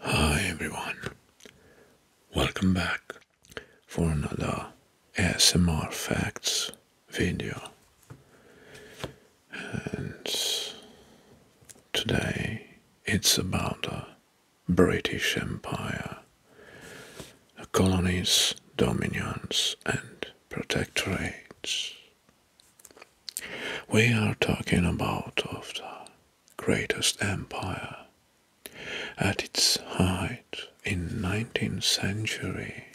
Hi everyone, welcome back for another ASMR Facts video and today it's about the British Empire, the colonies, dominions and protectorates. We are talking about of the greatest empire at its height in 19th century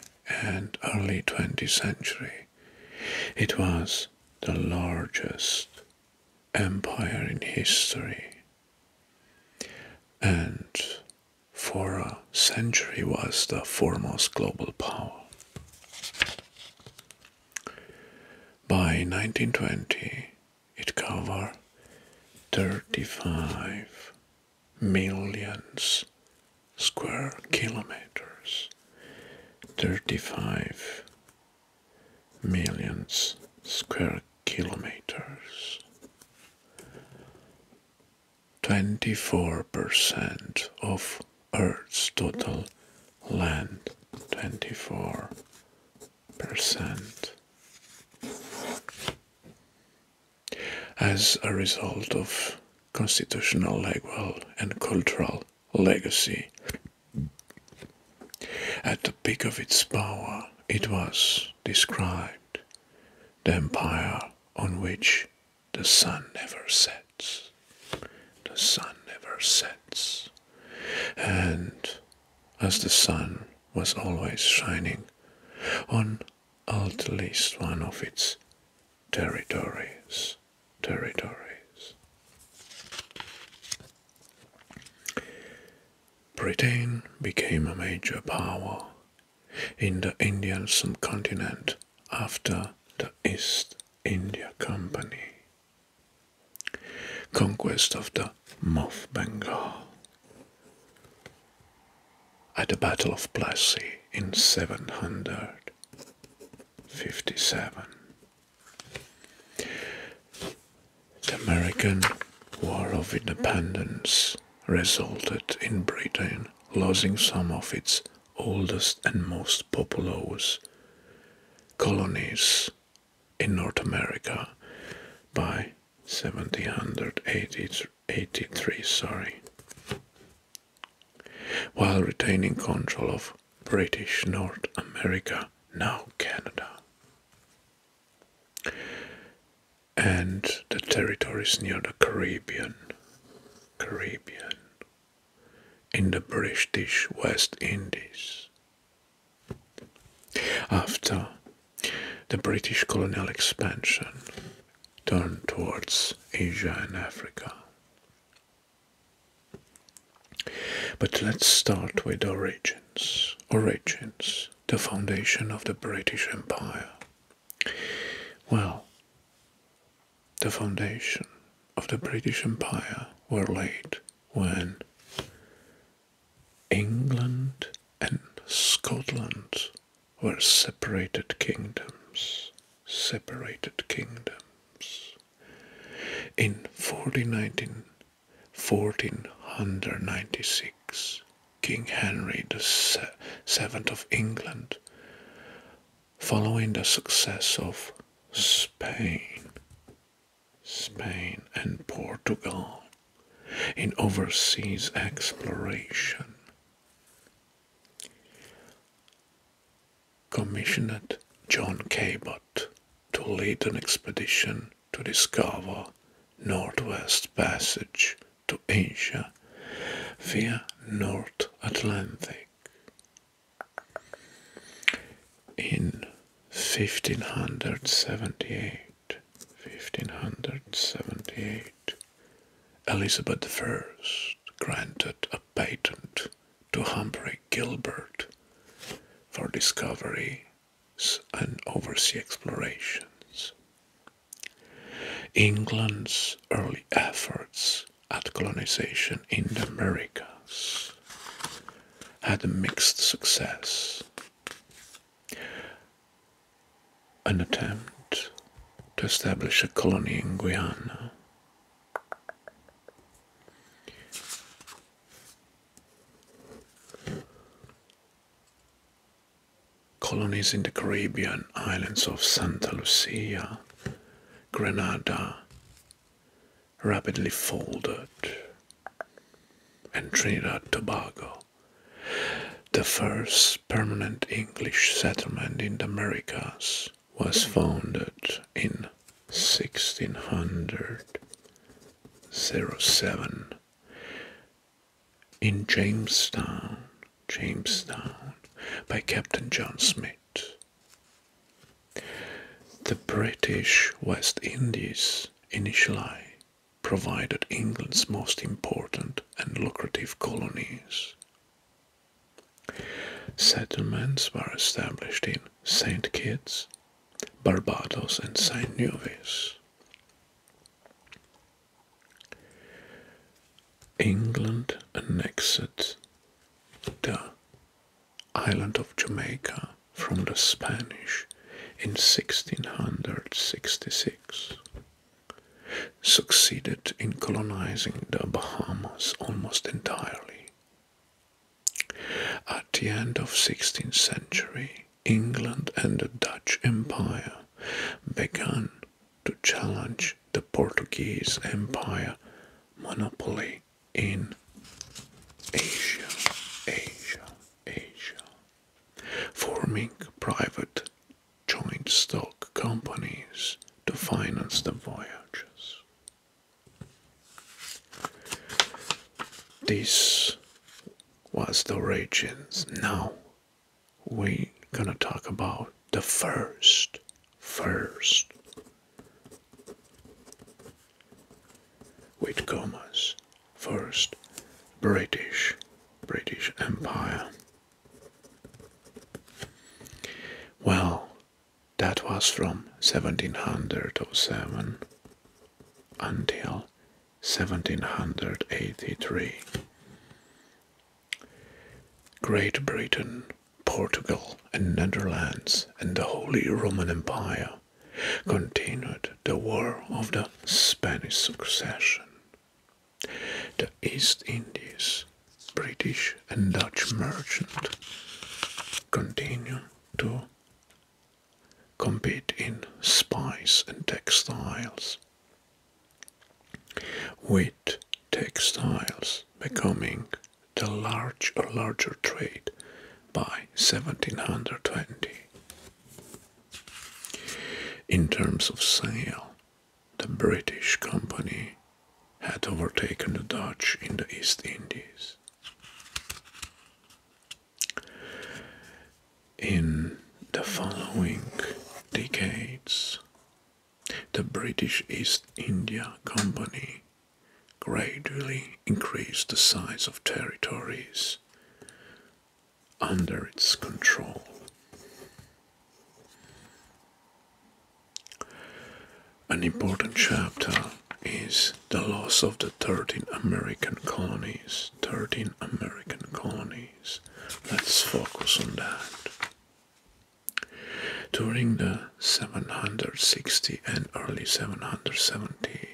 and early 20th century it was the largest empire in history and for a century was the foremost global power. By 1920, it covered 35 millions square kilometers, 35 millions square kilometers. 24% of Earth's total land. 24%. As a result of constitutional legal and cultural legacy. At the peak of its power, it was described the empire on which the sun never sets. The sun never sets. And as the sun was always shining on at least one of its territories territories. Britain became a major power in the Indian subcontinent after the East India Company. Conquest of the Moth Bengal. At the Battle of Plassey in 700, 57. The American War of Independence resulted in Britain losing some of its oldest and most populous colonies in North America by 1783 sorry while retaining control of British North America, now Canada, and the territories near the Caribbean, Caribbean, in the British West Indies. After the British colonial expansion turned towards Asia and Africa. But let's start with origins. Origins, the foundation of the British Empire. Well, the foundation of the British Empire were laid when England and Scotland were separated kingdoms separated kingdoms. In 1496, King Henry the Seventh of England, following the success of Spain, Spain and Portugal in overseas exploration, commissioned John Cabot to lead an expedition to discover Northwest Passage to Asia via North Atlantic. In 1578, Elizabeth I granted a patent to Humphrey Gilbert for discoveries and oversea explorations. England's early efforts at colonization in the Americas had a mixed success. An attempt to establish a colony in Guyana Colonies in the Caribbean islands of Santa Lucia, Grenada rapidly folded, and Trinidad Tobago, the first permanent English settlement in the Americas, was founded in 1607 in Jamestown, Jamestown, by Captain John Smith. The British West Indies initially provided England's most important and lucrative colonies. Settlements were established in Saint Kitts, Barbados and Saint Nevis. England annexed the island of Jamaica from the Spanish in 1666, succeeded in colonizing the Bahamas almost entirely at the end of 16th century, England and the Dutch Empire began to challenge the Portuguese Empire monopoly in Asia, Asia, Asia, forming private joint stock companies to finance the voyages. This was the regions. Now we're gonna talk about the first, first with commas. First, British, British Empire. Well, that was from 1707 until 1783. Great Britain, Portugal, and Netherlands and the Holy Roman Empire continued the War of the Spanish Succession. The East Indies British and Dutch merchants continue to compete in spice and textiles, with textiles becoming the large or larger trade by 1720. In terms of sale, the British company had overtaken the Dutch in the East Indies. In the following decades, the British East India Company gradually increased the size of territories under its control. An important chapter is the loss of the 13 American colonies. 13 American colonies. Let's focus on that. During the 760 and early 770,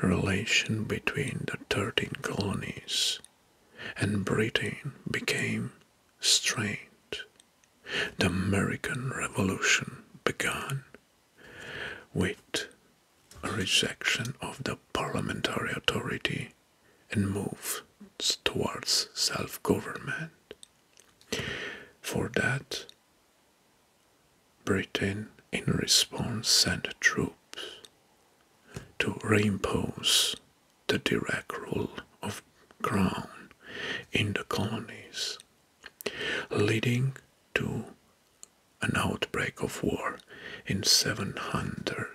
relation between the 13 colonies and Britain became strained the American Revolution began with a rejection of the parliamentary authority and moves towards self government. For that, Britain, in response, sent troops to reimpose the direct rule of crown in the colonies, leading to an outbreak of war in 700,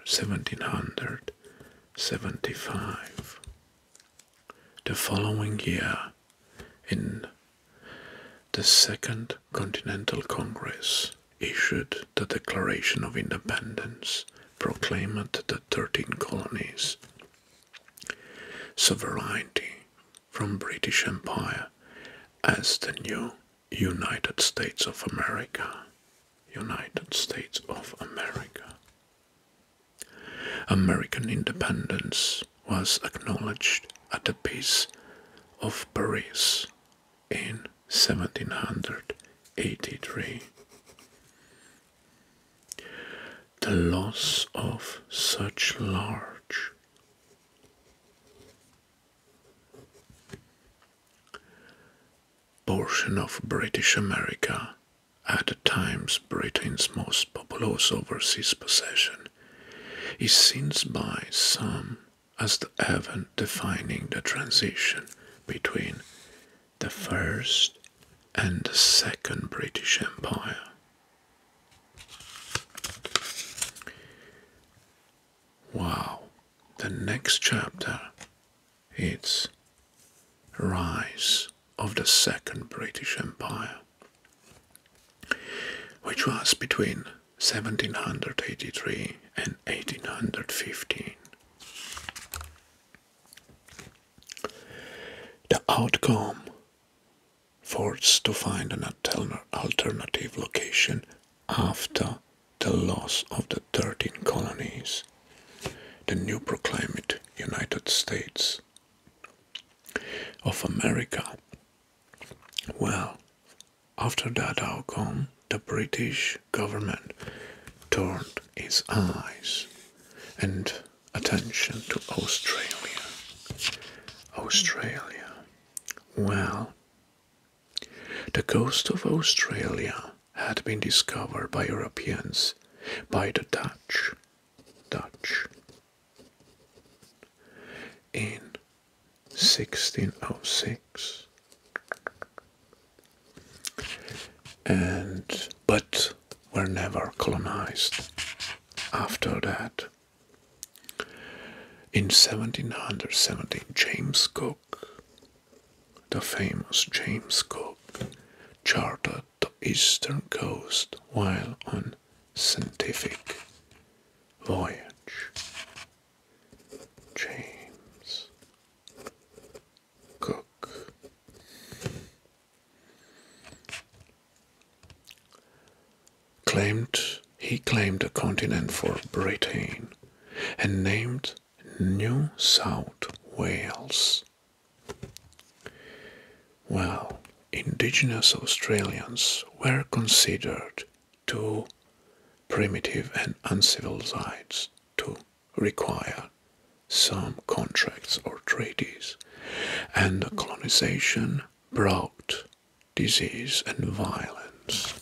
1775. The following year, in the Second Continental Congress, issued the Declaration of Independence, proclaimed the 13 colonies sovereignty from British Empire as the new United States of America. United States of America. American independence was acknowledged at the Peace of Paris in 1783. The loss of such large portion of British America, at times Britain's most populous overseas possession, is seen by some as the event defining the transition between the First and the Second British Empire. Wow, the next chapter it's Rise of the Second British Empire, which was between 1783 and 1815. The outcome forced to find an alternative location after the loss of the 13 colonies, the new proclaimed United States of America. Well, after that outcome, the British government turned its eyes and attention to Australia. Australia. Well, the coast of Australia had been discovered by Europeans, by the Dutch. Dutch. In 1606 and but were never colonized after that. In 1717, James Cook, the famous James Cook, charted the eastern coast while on scientific voyage. James Cook. Claimed he claimed a continent for Britain and named New South Wales. Well, indigenous Australians were considered too primitive and uncivilized to require some contracts or treaties, and colonization brought disease and violence.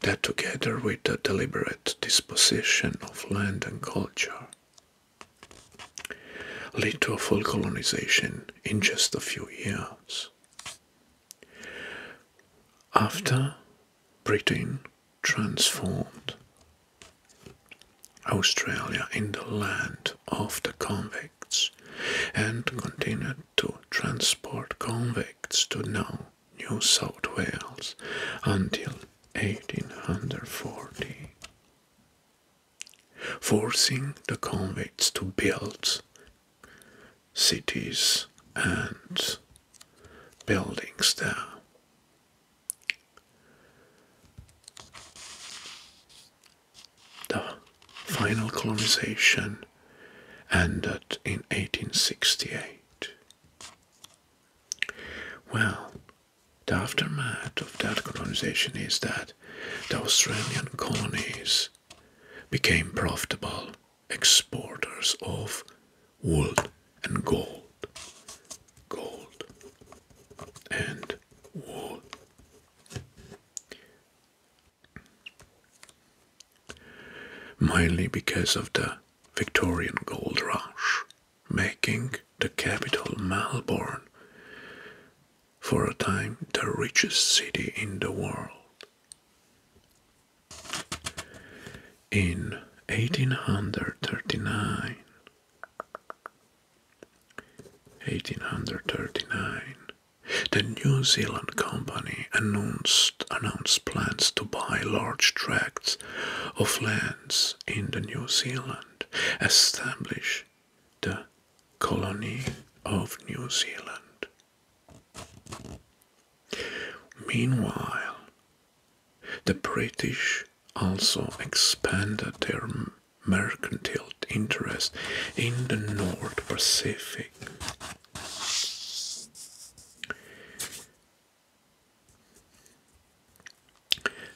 That, together with the deliberate disposition of land and culture, led to a full colonization in just a few years. After Britain transformed Australia in the land of the convicts and continued to transport convicts to New South Wales until 1840, forcing the convicts to build cities and buildings there. The final colonization ended in 1868. Well, the aftermath of that colonization is that the Australian colonies became profitable exporters of wood and gold gold and wool. Mainly because of the Victorian gold rush, making the capital Melbourne for a time the richest city in the world. In 1839, 1839, the New Zealand Company announced, announced plans to buy large tracts of lands in the New Zealand, establish the colony of New Zealand. Meanwhile, the British also expanded their mercantile interest in the North Pacific.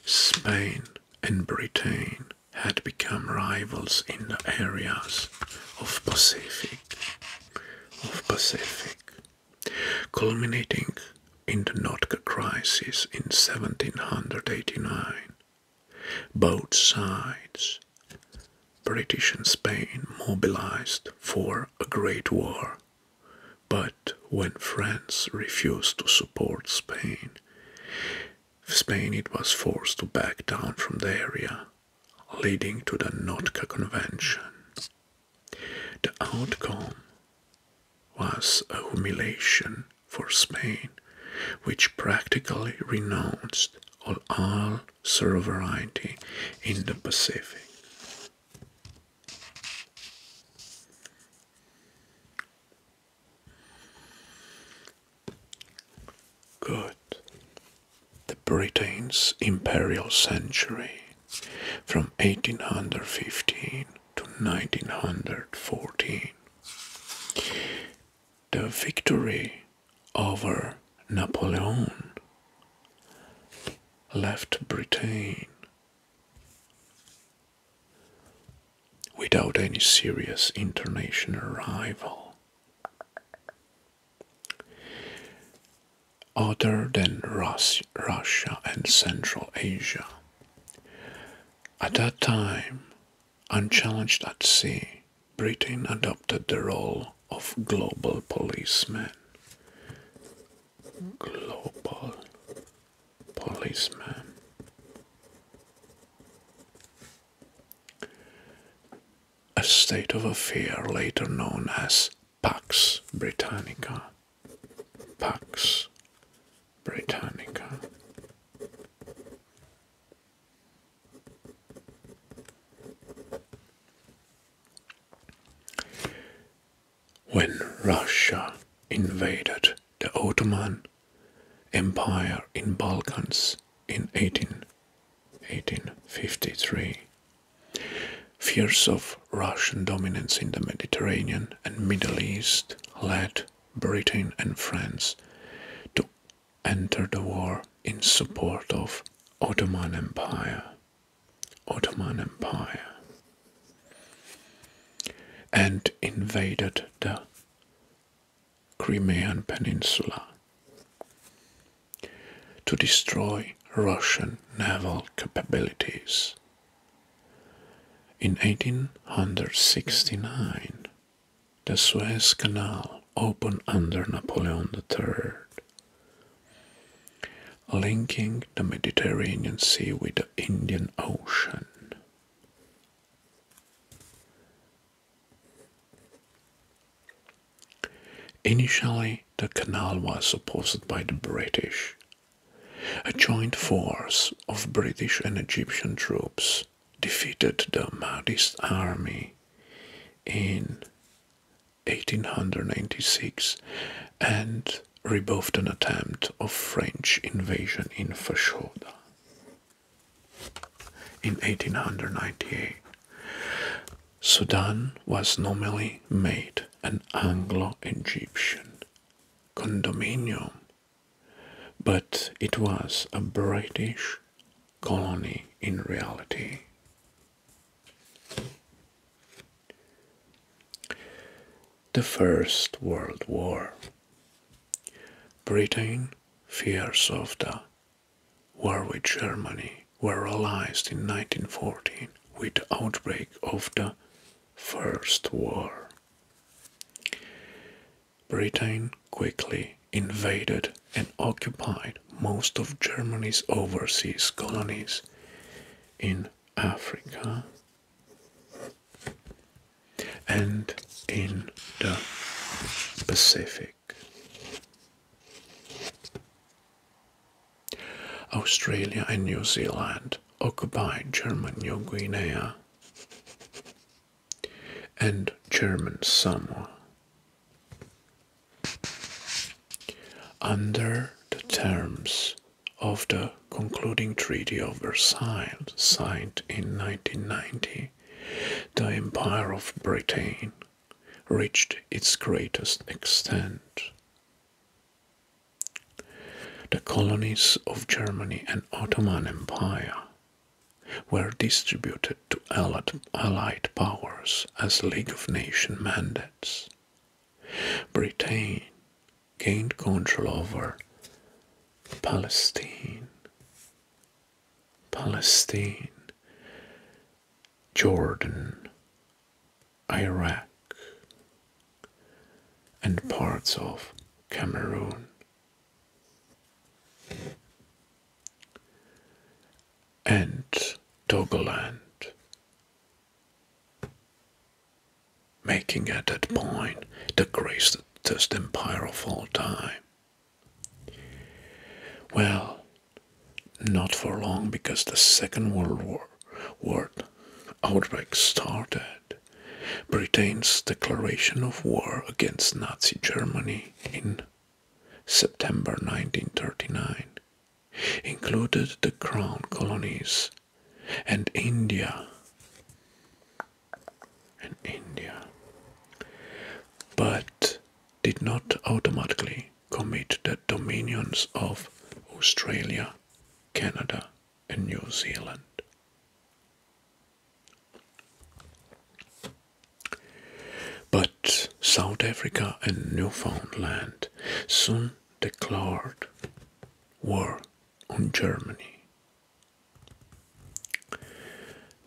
Spain and Britain had become rivals in the areas of Pacific of Pacific, culminating in the Nootka crisis in 1789. Both sides, British and Spain, mobilized for a great war. But when France refused to support Spain, Spain it was forced to back down from the area, leading to the Nootka Convention. The outcome was a humiliation for Spain, which practically renounced all, sovereignty in the Pacific. Good. The Britain's imperial century from 1815 to 1914. The victory over Napoleon left Britain without any serious international rival. Other than Russia and Central Asia. At that time, Unchallenged at sea, Britain adopted the role of global policeman. Global policeman. A state of affair later known as Pax Britannica. Pax Britannica. When Russia invaded the Ottoman Empire in Balkans in 18, 1853, fears of Russian dominance in the Mediterranean and Middle East led Britain and France to enter the war in support of Ottoman Empire. Ottoman Empire and invaded the Crimean Peninsula to destroy Russian naval capabilities in 1869, the Suez Canal opened under Napoleon III, linking the Mediterranean Sea with the Indian Ocean. Initially, the canal was opposed by the British. A joint force of British and Egyptian troops defeated the Mahdist army in 1896 and rebuffed an attempt of French invasion in Fashoda in 1898. Sudan was nominally made an Anglo Egyptian condominium but it was a British colony in reality. The First World War. Britain, fears of the war with Germany were realized in 1914 with the outbreak of the First War. Britain quickly invaded and occupied most of Germany's overseas colonies in Africa and in the Pacific. Australia and New Zealand occupied German New Guinea and German Samoa. Under the terms of the concluding Treaty of Versailles, signed in 1990, the Empire of Britain reached its greatest extent. The colonies of Germany and Ottoman Empire were distributed to Allied powers as League of Nations mandates. Britain gained control over Palestine, Palestine, Jordan, Iraq, and parts of Cameroon and Togoland, making at that point the greatest empire of all time. Well, not for long because the Second World War, war outbreak started had Britain's declaration of war against Nazi Germany in September 1939 included the Crown colonies and India but did not automatically commit the dominions of Australia, Canada and New Zealand. But South Africa and Newfoundland soon declared war on Germany.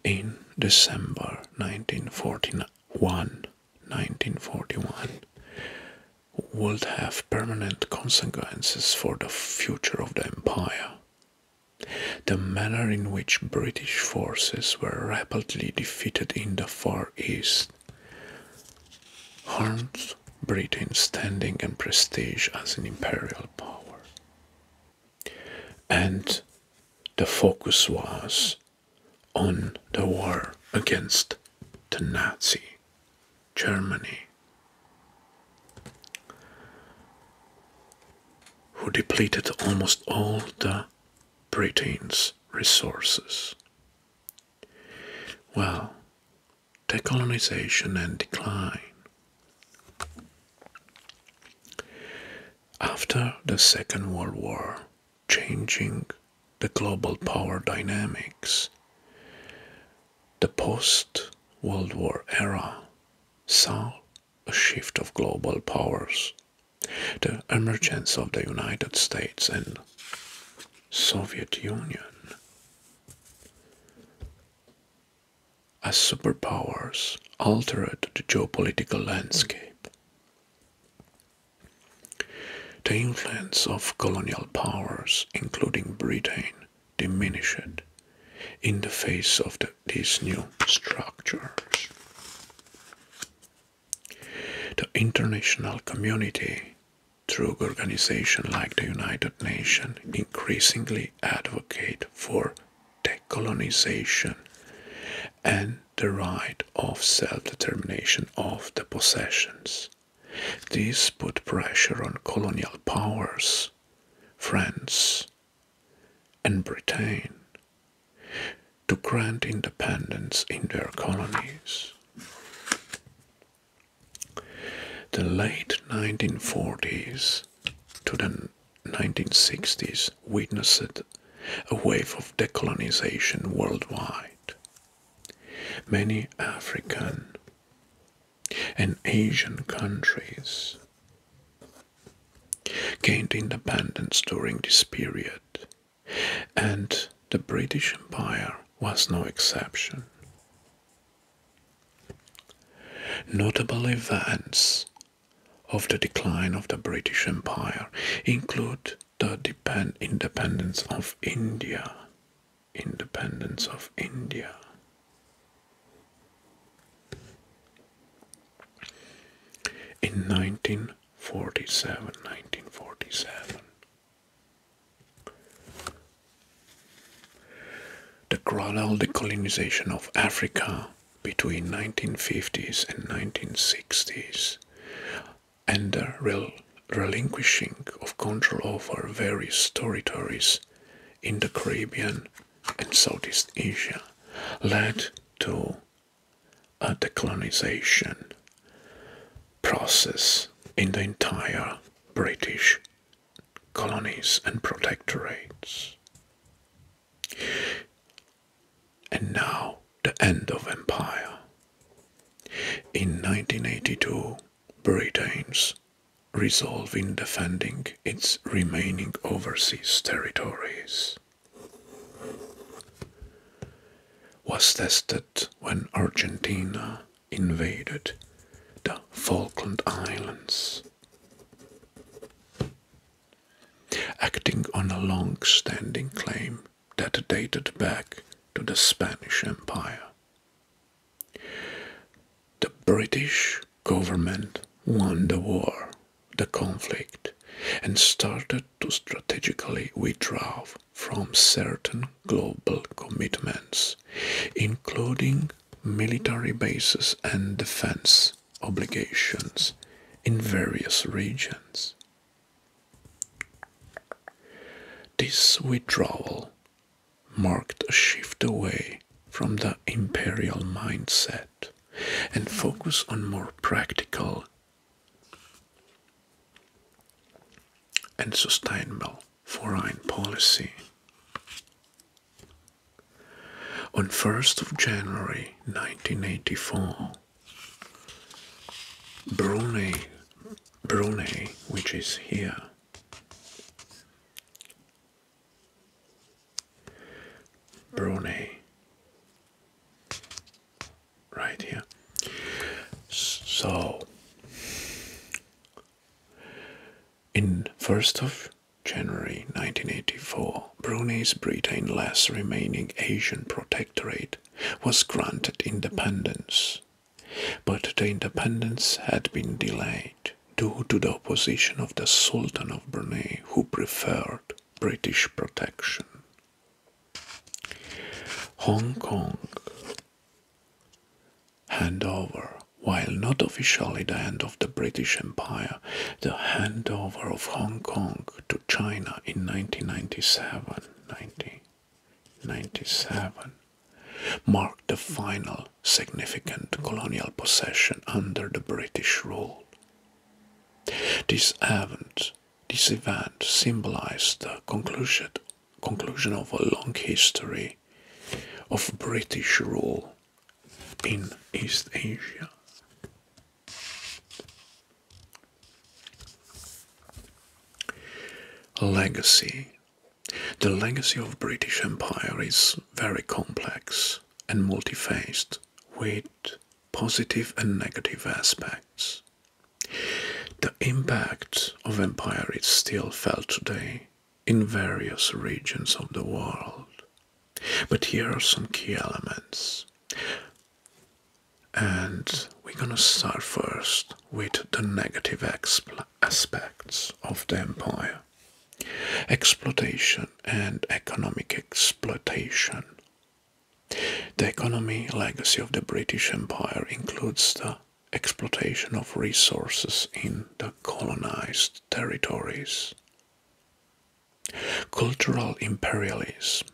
In December 1941, 1941 would have permanent consequences for the future of the empire. The manner in which British forces were rapidly defeated in the Far East harmed Britain's standing and prestige as an imperial power. And the focus was on the war against the Nazi Germany who depleted almost all the Britain's resources. Well, decolonization and decline. After the Second World War, changing the global power dynamics, the post World War era saw a shift of global powers, the emergence of the United States and Soviet Union as superpowers altered the geopolitical landscape. The influence of colonial powers, including Britain, diminished in the face of the these new structures. The international community, through organizations like the United Nations, increasingly advocate for decolonization and the right of self-determination of the possessions. This put pressure on colonial powers, France, and Britain to grant independence in their colonies. The late 1940s to the 1960s witnessed a wave of decolonization worldwide. Many African and Asian countries gained independence during this period, and the British Empire was no exception. Notable events of the decline of the British Empire include the independence of India, independence of India, in 1947, the gradual decolonization of Africa between 1950s and 1960s and the relinquishing of control over various territories in the Caribbean in Southeast Asia led to a decolonization process in the entire British colonies and protectorates. And now the end of empire. In 1982, Britain's Resolving defending its remaining overseas territories was tested when Argentina invaded the Falkland Islands. Acting on a long standing claim that dated back to the Spanish Empire the British government won the war, the conflict, and started to strategically withdraw from certain global commitments, including military bases and defense obligations in various regions. This withdrawal marked a shift away from the imperial mindset and focus on more practical and sustainable foreign policy. On 1st of January 1984, Brunei, Brunei, which is here, Brunei. Right here. So, in 1st of January 1984, Brunei's Britain-less remaining Asian protectorate was granted independence, but the independence had been delayed due to the opposition of the Sultan of Brunei, who preferred British protection. Hong Kong handover. While not officially the end of the British Empire, the handover of Hong Kong to China in 1997, marked the final significant colonial possession under the British rule. This event, this event symbolized the conclusion, conclusion of a long history of British rule in East Asia. Legacy The legacy of British Empire is very complex complex and multifaceted with positive and negative aspects. The impact of empire is still felt today in various regions of the world. But here are some key elements. And we're gonna start first with the negative aspects of the empire. Exploitation and economic exploitation. The economy legacy of the British Empire includes the exploitation of resources in the colonized territories. Cultural imperialism.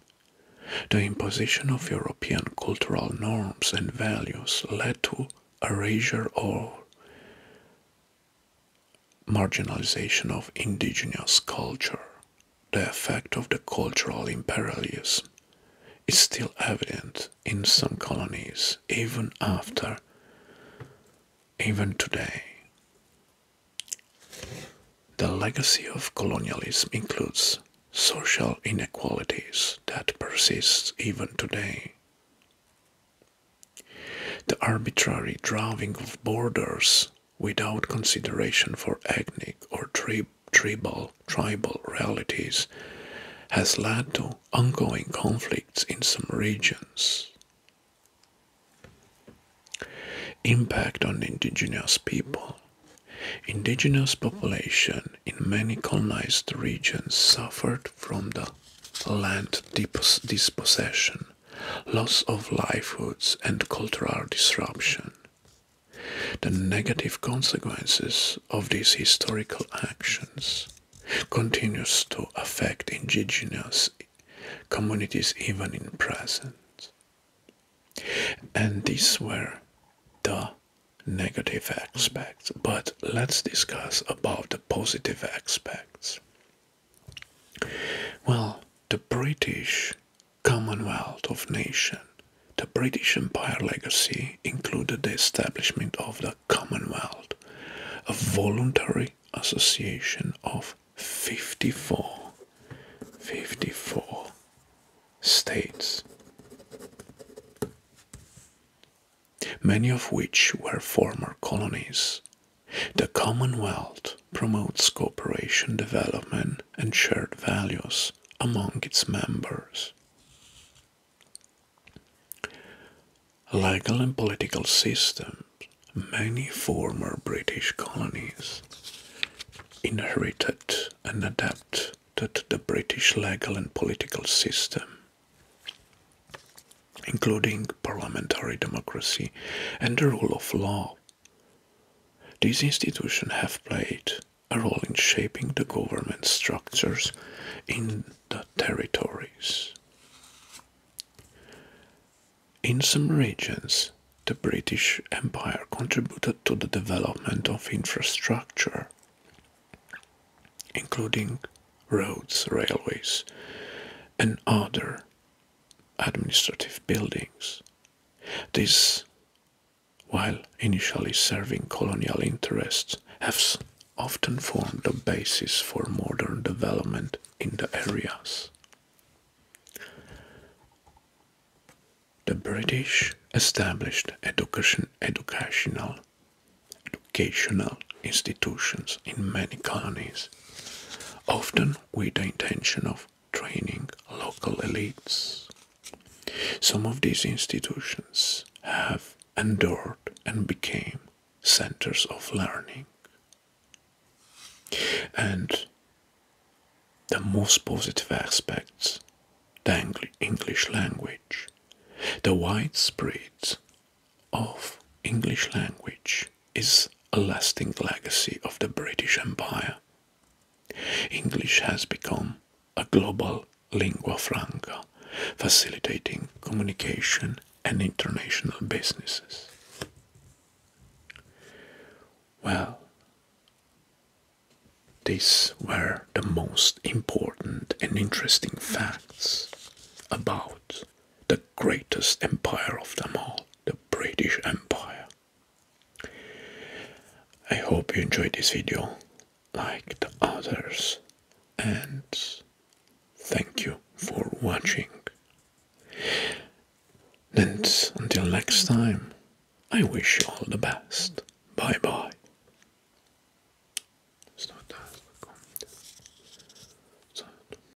The imposition of European cultural norms and values led to erasure or marginalization of indigenous culture, the effect of the cultural imperialism, is still evident in some colonies even after, even today. The legacy of colonialism includes social inequalities that persist even today. The arbitrary drawing of borders without consideration for ethnic or tribal, tribal realities has led to ongoing conflicts in some regions. Impact on indigenous people. Indigenous population in many colonized regions suffered from the land dispossession loss of livelihoods, and cultural disruption. The negative consequences of these historical actions continues to affect indigenous communities even in present. And these were the negative aspects, but let's discuss about the positive aspects. Well, the British Commonwealth of Nations, the British Empire legacy included the establishment of the Commonwealth, a voluntary association of 54, 54 states, many of which were former colonies the Commonwealth promotes cooperation, development, and shared values among its members. Legal and political systems. Many former British colonies inherited and adapted the British legal and political system including parliamentary democracy and the rule of law. These institutions have played a role in shaping the government structures in the territories. In some regions, the British Empire contributed to the development of infrastructure, including roads, railways, and other administrative buildings. These, while initially serving colonial interests, have often formed the basis for modern development in the areas. The British established education, educational, educational institutions in many colonies, often with the intention of training local elites. Some of these institutions have endured and became centers of learning. And the most positive aspects, the English language, the widespread of English language is a lasting legacy of the British Empire. English has become a global lingua franca, facilitating communication and international businesses. Well, these were the most important and interesting facts about the greatest empire of them all, the British Empire. I hope you enjoyed this video, like the others, and thank you for watching. And until next time, I wish you all the best. Bye bye.